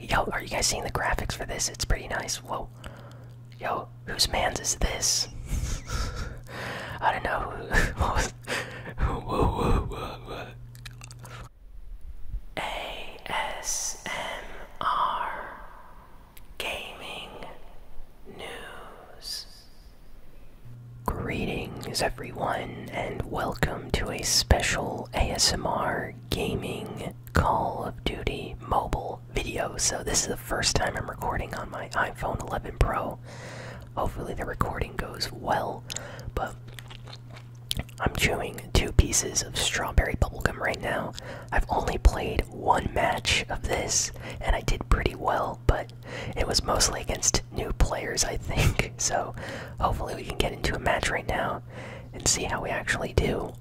Yo, are you guys seeing the graphics for this? It's pretty nice. Whoa. Yo, whose man's is this? I don't know who. whoa, whoa, whoa, whoa. ASMR Gaming News. Greetings, everyone, and welcome to a special ASMR Gaming Call of Duty mobile video. So, this is the first time I'm recording on my iPhone 11 Pro. Hopefully, the recording goes well, but I'm chewing two pieces of strawberry bubblegum right now. I've only played one match of this, and I did pretty well, but it was mostly against new players, I think. So, hopefully, we can get into a match right now and see how we actually do.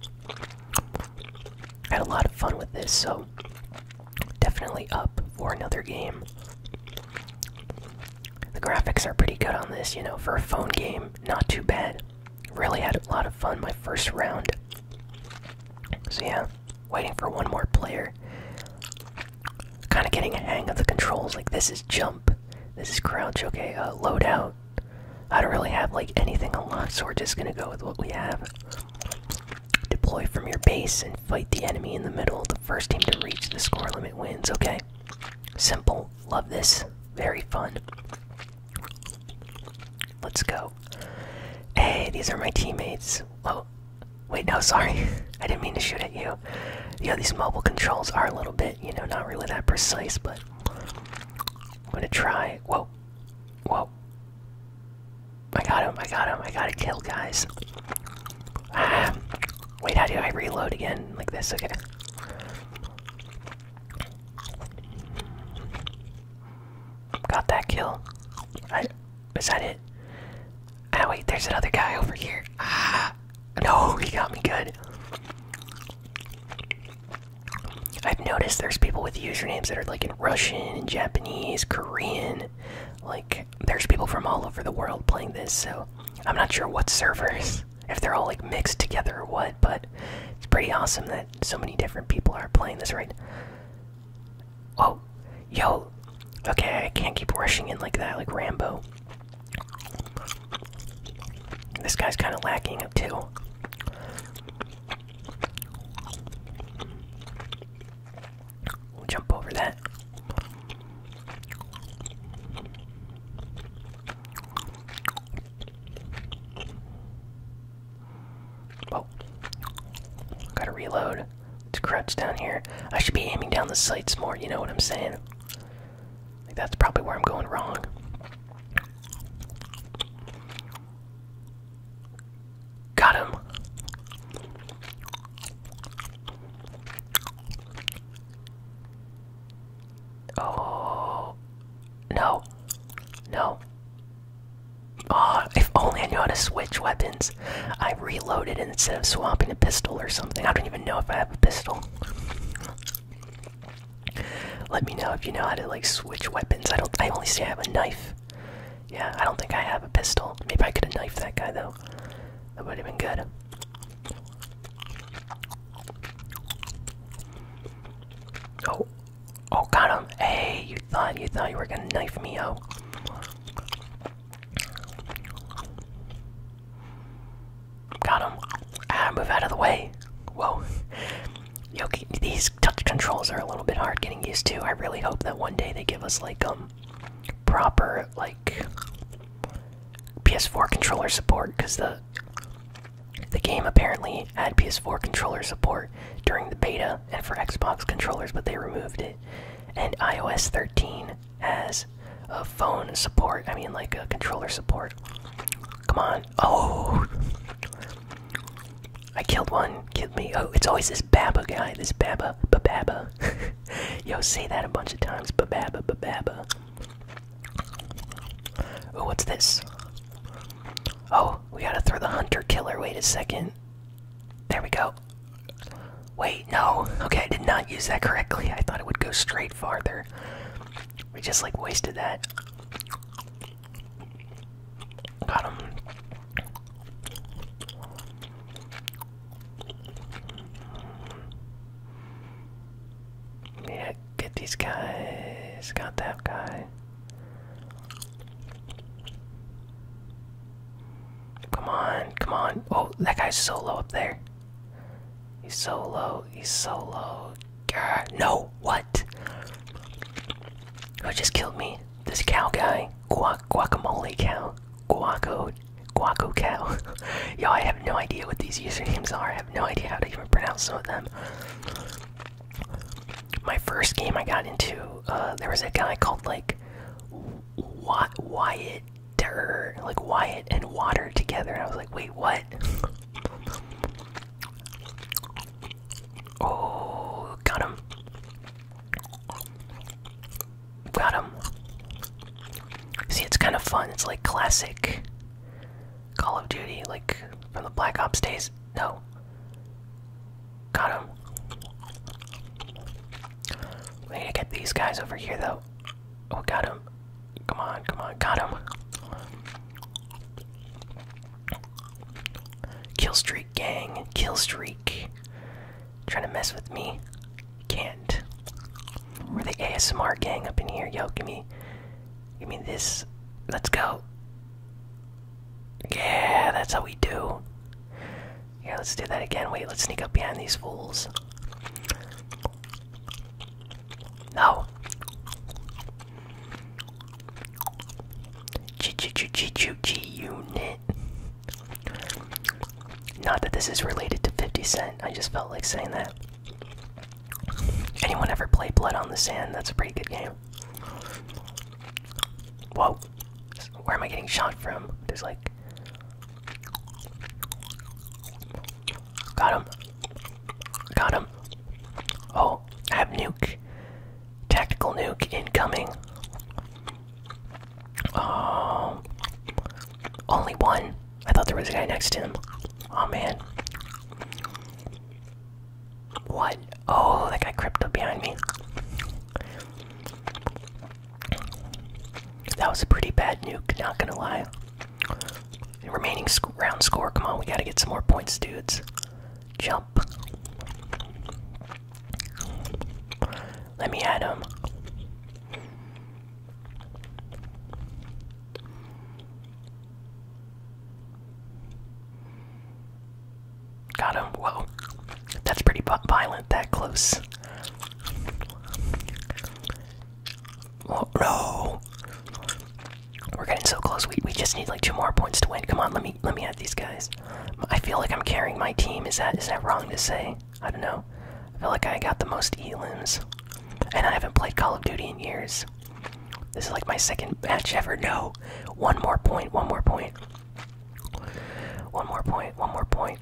I had a lot of fun with this, so definitely up for another game. The graphics are pretty good on this, you know, for a phone game, not too bad. Really had a lot of fun my first round. So, yeah, waiting for one more player. Kind of getting a hang of the controls. Like, this is jump, this is crouch, okay, uh, load out, I don't really have like anything unlocked, so we're just gonna go with what we have. Deploy from your base and fight the enemy in the middle. The first team to reach the score limit wins. Okay, simple. Love this. Very fun. Let's go. Hey, these are my teammates. Oh, wait, no, sorry. I didn't mean to shoot at you. Yeah, these mobile controls are a little bit, you know, not really that precise, but I'm gonna try. Whoa, whoa! I got him! I got him! I got a kill, guys. Ah. wait, how do I reload again? Like this? Okay. Got that kill. is that it? Ah, wait, there's another guy over here. Ah got. No, he got me good. I've noticed there's people with usernames that are like in Russian and Japanese, Korean. Like, there's people from all over the world playing this, so I'm not sure what servers, if they're all like mixed together or what, but it's pretty awesome that so many different people are playing this right. Oh, yo, okay, I can't keep rushing in like that, like Rambo. This guy's kind of lacking it too. jump over that. Oh, gotta reload. It's a down here. I should be aiming down the sights more, you know what I'm saying? that's probably where I'm going wrong. Got him. Oh no. No. Oh, if only I knew how to switch weapons. I reloaded instead of swapping a pistol or something. I don't even know if I have a pistol. Let me know if you know how to like switch weapons. I don't. I only see I have a knife. Yeah, I don't think I have a pistol. Maybe I could have knifed that guy though. That would have been good. Oh, oh, got him! Hey, you thought you thought you were gonna knife me? out. Oh. Got him. Ah, move out of the way. Whoa. Yo, these touch controls are a little bit hard getting used to. I really hope that one day they give us like um proper like PS4 controller support because the the game apparently had PS4 controller support during the beta and for Xbox controllers, but they removed it. And iOS 13 has a phone support. I mean, like a controller support. Come on. Oh! I killed one. Killed me. Oh, it's always this Baba guy. This Baba. Baba. Yo, say that a bunch of times. Bababa. Bababa. Oh, what's this? Oh, we gotta throw the hunter killer. Wait a second. There we go. Wait, no. Okay, I did not use that correctly. I thought it would go straight farther. We just like wasted that. Got him. Yeah, get these guys. Got that guy. Come on, come on. Oh, that guy's so low up there. He's so low, he's so low. no, what? Who oh, just killed me? This cow guy. Guac guacamole cow. Guaco guaco cow. Yo, I have no idea what these usernames are. I have no idea how to even pronounce some of them. My first game I got into, uh, there was a guy called like Wyatt dirt, like Wyatt and water together. And I was like, wait, what? oh, got him. Got him. See, it's kind of fun. It's like classic Call of Duty, like from the Black Ops days. No. Got him. We need to get these guys over here, though. Oh, got him. Come on, come on, got him. Kill streak, gang. Kill streak. Trying to mess with me? Can't. We're the ASMR gang up in here. Yo, give me, give me this. Let's go. Yeah, that's how we do. Yeah, let's do that again. Wait, let's sneak up behind these fools. No. G G G G G unit. Not that this is related to 50 Cent. I just felt like saying that. Anyone ever play Blood on the Sand? That's a pretty good game. Whoa. Where am I getting shot from? There's like Got him. Got him. Oh, I have nuke. Tactical nuke incoming. Um, only one. I thought there was a guy next to him. Oh man. What? Oh, that guy crept up behind me. That was a pretty bad nuke, not gonna lie. remaining round score, come on, we gotta get some more points, dudes. Jump. Let me add them. Got him. Whoa. That's pretty violent that close. Oh, no. We're getting so close. We, we just need like two more points to win. Come on, let me let me add these guys. I feel like I'm carrying my team. Is that is that wrong to say? I don't know. I feel like I got the most elims. And I haven't played Call of Duty in years. This is like my second match ever. No. One more point, one more point. One more point, one more point.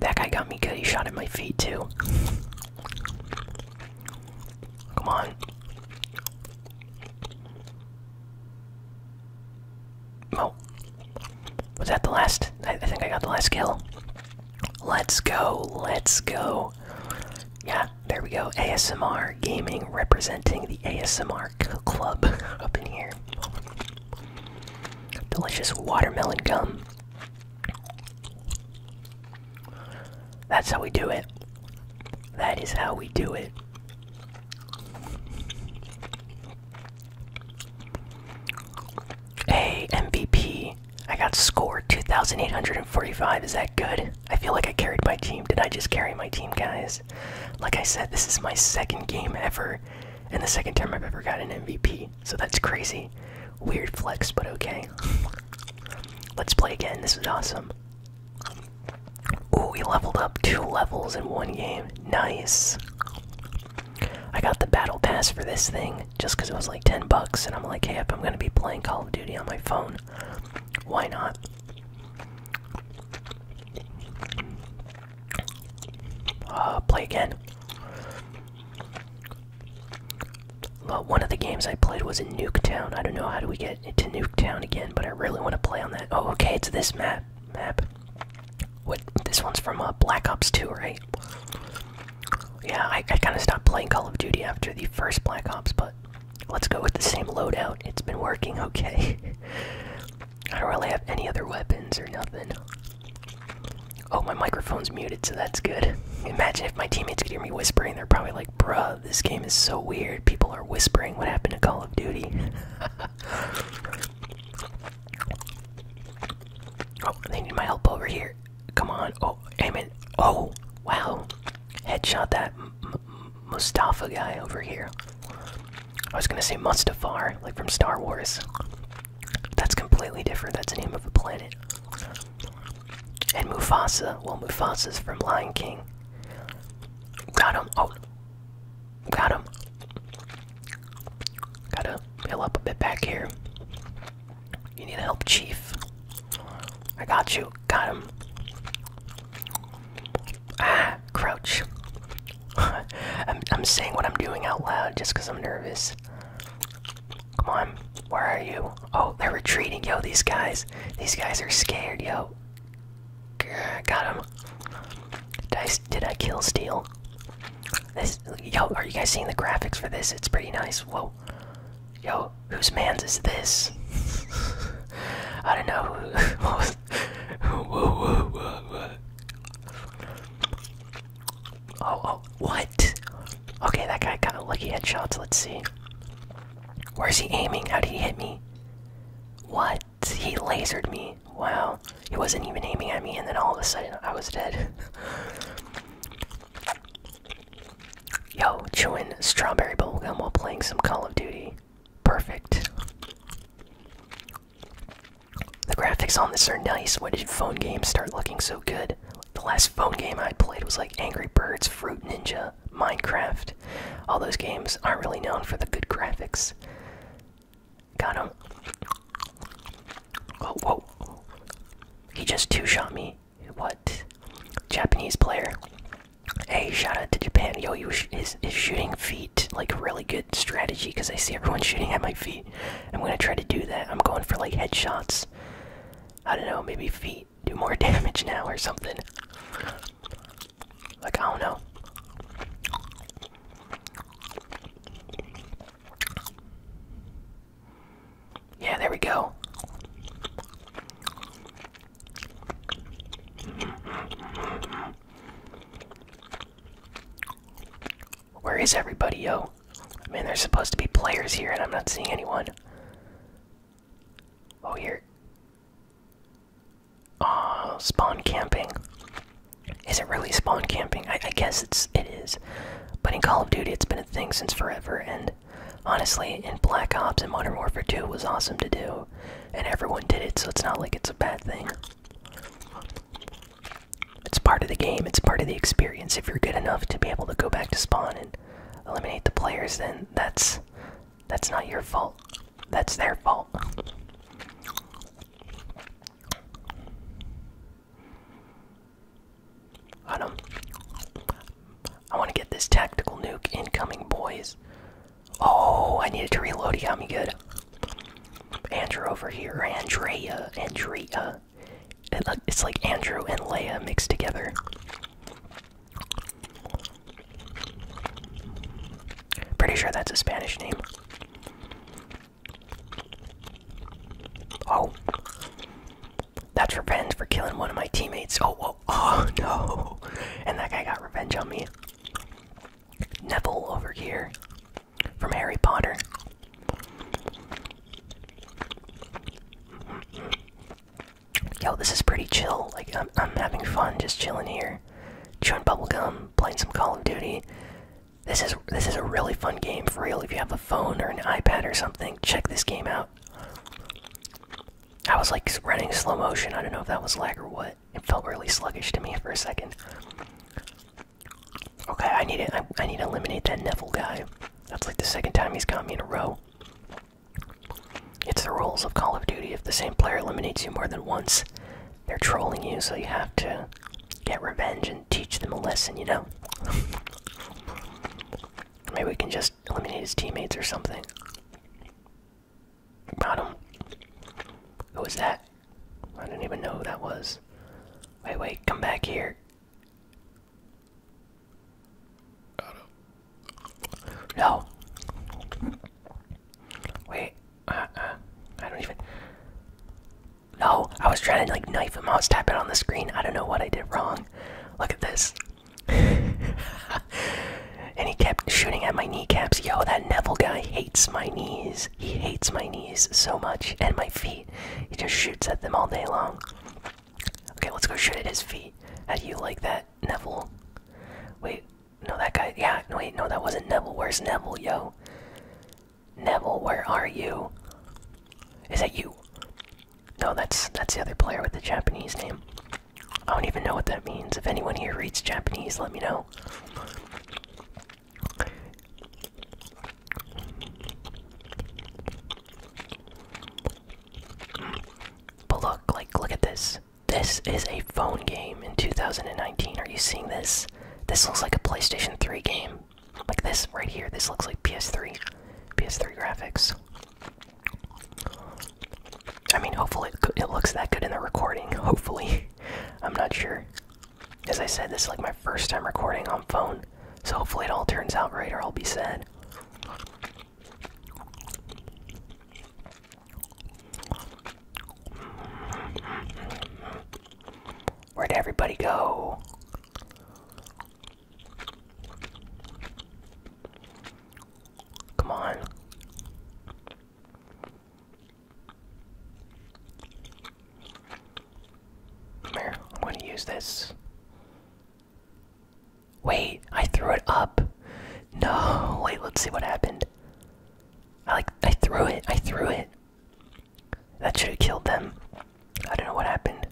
That guy got me good. He shot at my feet, too. Come on. Oh. Was that the last? I think I got the last kill. Let's go. Let's go. Yeah, there we go. ASMR Gaming representing the ASMR Club up in here. Delicious watermelon gum. That's how we do it. That is how we do it. Hey, MVP. I got scored 2,845. Is that good? I feel like I carried my team. Did I just carry my team, guys? Like I said, this is my second game ever, and the second time I've ever got an MVP. So that's crazy. Weird flex, but okay. Let's play again. This is awesome. Ooh, we leveled up two levels in one game. Nice. I got the battle pass for this thing just because it was like 10 bucks, and I'm like, hey, if I'm gonna be playing Call of Duty on my phone, why not? Uh, play again. Well, one of the games I played was in Nuketown. I don't know how do we get into Nuketown again, but I really want to play on that. Oh, okay, it's this map. Map. What? This one's from uh, Black Ops 2, right? Yeah, I kind of stopped playing Call of Duty after the first Black Ops, but Let's go with the same loadout. It's been working okay. I don't really have any other weapons or nothing. Oh, my microphone's muted, so that's good. Imagine if my teammates could hear me whispering. They're probably like, bruh, this game is so weird. People are whispering what happened to Call of Duty. oh, they need my help over here. Come on. Oh, aim it. Oh, wow. Headshot that Mustafa guy over here. I was gonna say Mustafar, like from Star Wars. That's completely different. That's the name of a planet. And Mufasa. Well, Mufasa's from Lion King. Got him. Oh. Got him. Gotta heal up a bit back here. You need help, Chief. I got you. Got him. Ah, crouch. I'm, I'm saying what I'm doing out loud just because I'm nervous. Come on, where are you? Oh, they're retreating. Yo, these guys. These guys are scared, yo. got him. Did I, did I kill Steel? This, yo, are you guys seeing the graphics for this? It's pretty nice. Whoa. Yo, whose man's is this? I don't know who was. oh, oh, what? Okay, that guy got a lucky headshots. Let's see. Where's he aiming? How did he hit me? What? He lasered me. Wow. He wasn't even aiming at me, and then all of a sudden I was dead. Yo, chewing strawberry bubble gum while playing some Call of Duty. Perfect. The graphics on this are nice. When did phone games start looking so good? The last phone game I played was like Angry Birds, Fruit Ninja, Minecraft. All those games aren't really known for the good graphics. Got him. Oh, whoa. He just two shot me. What? Japanese player. Hey, shout out to Japan. Yo, you is shooting feet like really good strategy because I see everyone shooting at my feet. I'm gonna try to do that. I'm going for like headshots. I don't know, maybe feet do more damage now or something. Like, I don't know. Yeah, there we go. Where is everybody, yo? I mean, there's supposed to be players here, and I'm not seeing anyone. Oh, here. Oh, spawn camping. Is it really spawn camping? I, I guess it's it is. But in Call of Duty, it's been a thing since forever, and Honestly, in Black Ops and Modern Warfare 2 was awesome to do, and everyone did it, so it's not like it's a bad thing. It's part of the game, it's part of the experience. If you're good enough to be able to go back to spawn and eliminate the players, then that's that's not your fault. That's their fault. Got him. I want to get this tactical nuke incoming, boys. Oh, I needed to reload. He got me good. Andrew over here. Andrea. Andrea. It's like Andrew and Leia mixed together. Pretty sure that's a Spanish name. Oh. That's revenge for killing one of my teammates. Oh, oh, oh no. And that guy got revenge on me. Neville over here from Harry Potter. Yo, this is pretty chill. Like, I'm, I'm having fun just chilling here, chewing bubblegum, playing some Call of Duty. This is this is a really fun game for real. If you have a phone or an iPad or something, check this game out. I was like running slow motion. I don't know if that was lag or what. It felt really sluggish to me for a second. Okay, I need it. I, I need to eliminate that Neville guy. That's like the second time he's got me in a row. It's the rules of Call of Duty. If the same player eliminates you more than once, they're trolling you, so you have to get revenge and teach them a lesson, you know? Maybe we can just eliminate his teammates or something. Bottom. Who was that? I didn't even know who that was. Wait, wait, come back here. No. Wait. Uh, uh, I don't even. No, I was trying to like knife him. I was tapping on the screen. I don't know what I did wrong. Look at this. and he kept shooting at my kneecaps. Yo, that Neville guy hates my knees. He hates my knees so much and my feet. He just shoots at them all day long. Okay, let's go shoot at his feet. How do you like that, Neville? Wait, no, that guy. Yeah, wait, no, that wasn't Neville. Where's Neville, yo? Neville, where are you? Is that you? No, that's that's the other player with the Japanese name. I don't even know what that means. If anyone here reads Japanese, let me know. But look, like, look at this. This is a phone game in 2019. Are you seeing this? This looks like a PlayStation 3 game. Like this right here. This looks like PS3. PS3 graphics. I mean, hopefully it, looks that good in the recording. Hopefully, I'm not sure. As I said, this is like my first time recording on phone, so hopefully it all turns out right, or I'll be sad. Where'd everybody go? Come on. here, I'm going to use this. Wait, I threw it up. No, wait, let's see what happened. I like, I threw it, I threw it. That should have killed them. I don't know what happened.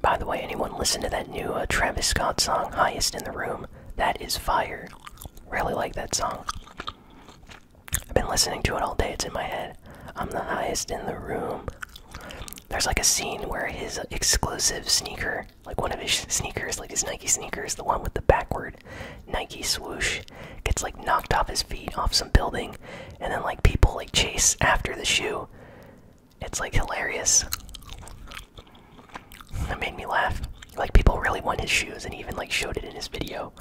By the way, anyone listen to that new uh, Travis Scott song, Highest in the Room? That is fire. Really like that song. I've been listening to it all day, it's in my head. I'm the highest in the room. There's like a scene where his exclusive sneaker, like one of his sneakers, like his Nike sneakers, the one with the backward. Nike swoosh, gets like knocked off his feet off some building, and then like people like chase after the shoe. It's like hilarious. That made me laugh. Like people really want his shoes, and he even like showed it in his video.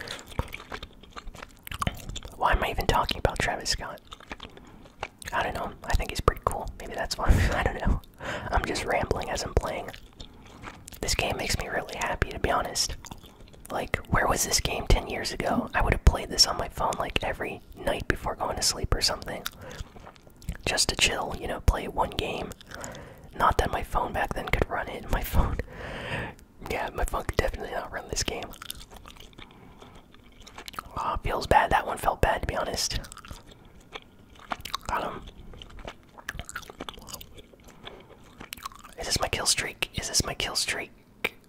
Why am I even talking about Travis Scott? I don't know. I think he's pretty cool. Maybe that's why. I don't know. I'm just rambling as I'm playing. This game makes me really happy, to be honest. Like, where was this game 10 years ago? I would have played this on my phone like every night before going to sleep or something. Just to chill, you know, play one game. Not that my phone back then could run it. My phone. Yeah, my phone could definitely not run this game. Oh, feels bad. That one felt bad, to be honest. Got is this my kill streak? Is this my kill streak?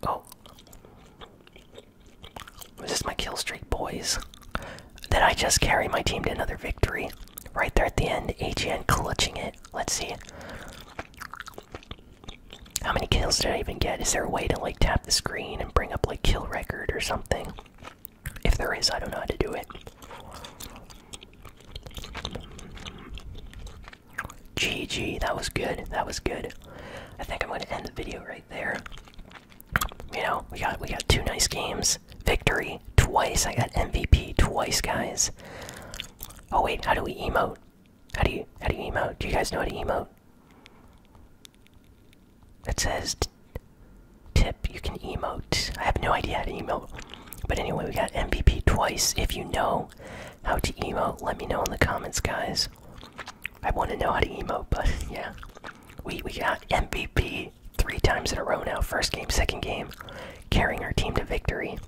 Oh. Is this my kill streak, boys? That I just carry my team to another victory? Right there at the end, AGN clutching it. Let's see. How many kills did I even get? Is there a way to like tap the screen and bring up like kill record or something? If there is, I don't know how to do it. GG, that was good. That was good. I think I'm going to end the video right there. You know, we got we got two nice games. Victory twice. I got MVP twice, guys. Oh wait, how do we emote? How do you how do you emote? Do you guys know how to emote? It says tip. You can emote. I have no idea how to emote. But anyway, we got MVP twice. If you know how to emote, let me know in the comments, guys. I want to know how to emote, but yeah. We, we got MVP three times in a row now. First game, second game. Carrying our team to victory.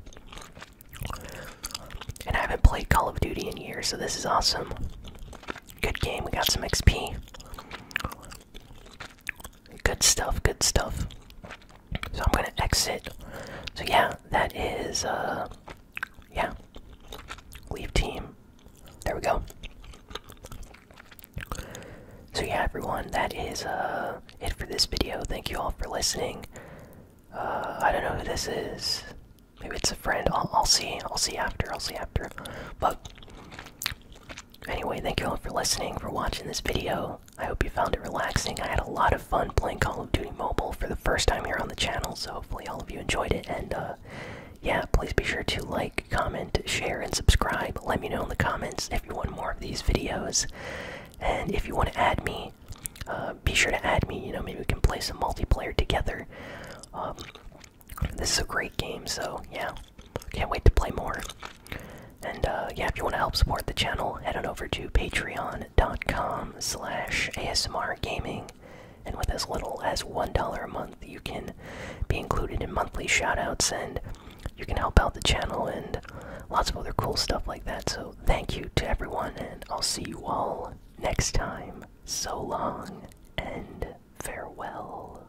And I haven't played Call of Duty in years, so this is awesome. Good game. We got some XP. Good stuff, good stuff. So I'm gonna exit. So yeah, that is uh yeah. Leave team. There we go. So yeah everyone, that is uh it for this video. Thank you all for listening. Uh I don't know who this is. Maybe it's a friend. I'll, I'll see. I'll see after. I'll see after. But anyway, thank you all for listening, for watching this video. I hope you found it relaxing. I had a lot of fun playing Call of Duty Mobile for the first time here on the channel, so hopefully all of you enjoyed it. And uh, yeah, please be sure to like, comment, share, and subscribe. Let me know in the comments if you want more of these videos. And if you want to add me, uh, be sure to add me. You know, maybe we can play some multiplayer together. Um, this is a great game, so yeah, can't wait to play more. And uh, yeah, if you want to help support the channel, head on over to patreon.com slash ASMR Gaming. And with as little as $1 a month, you can be included in monthly shoutouts and you can help out the channel and lots of other cool stuff like that. So thank you to everyone, and I'll see you all next time. So long and farewell.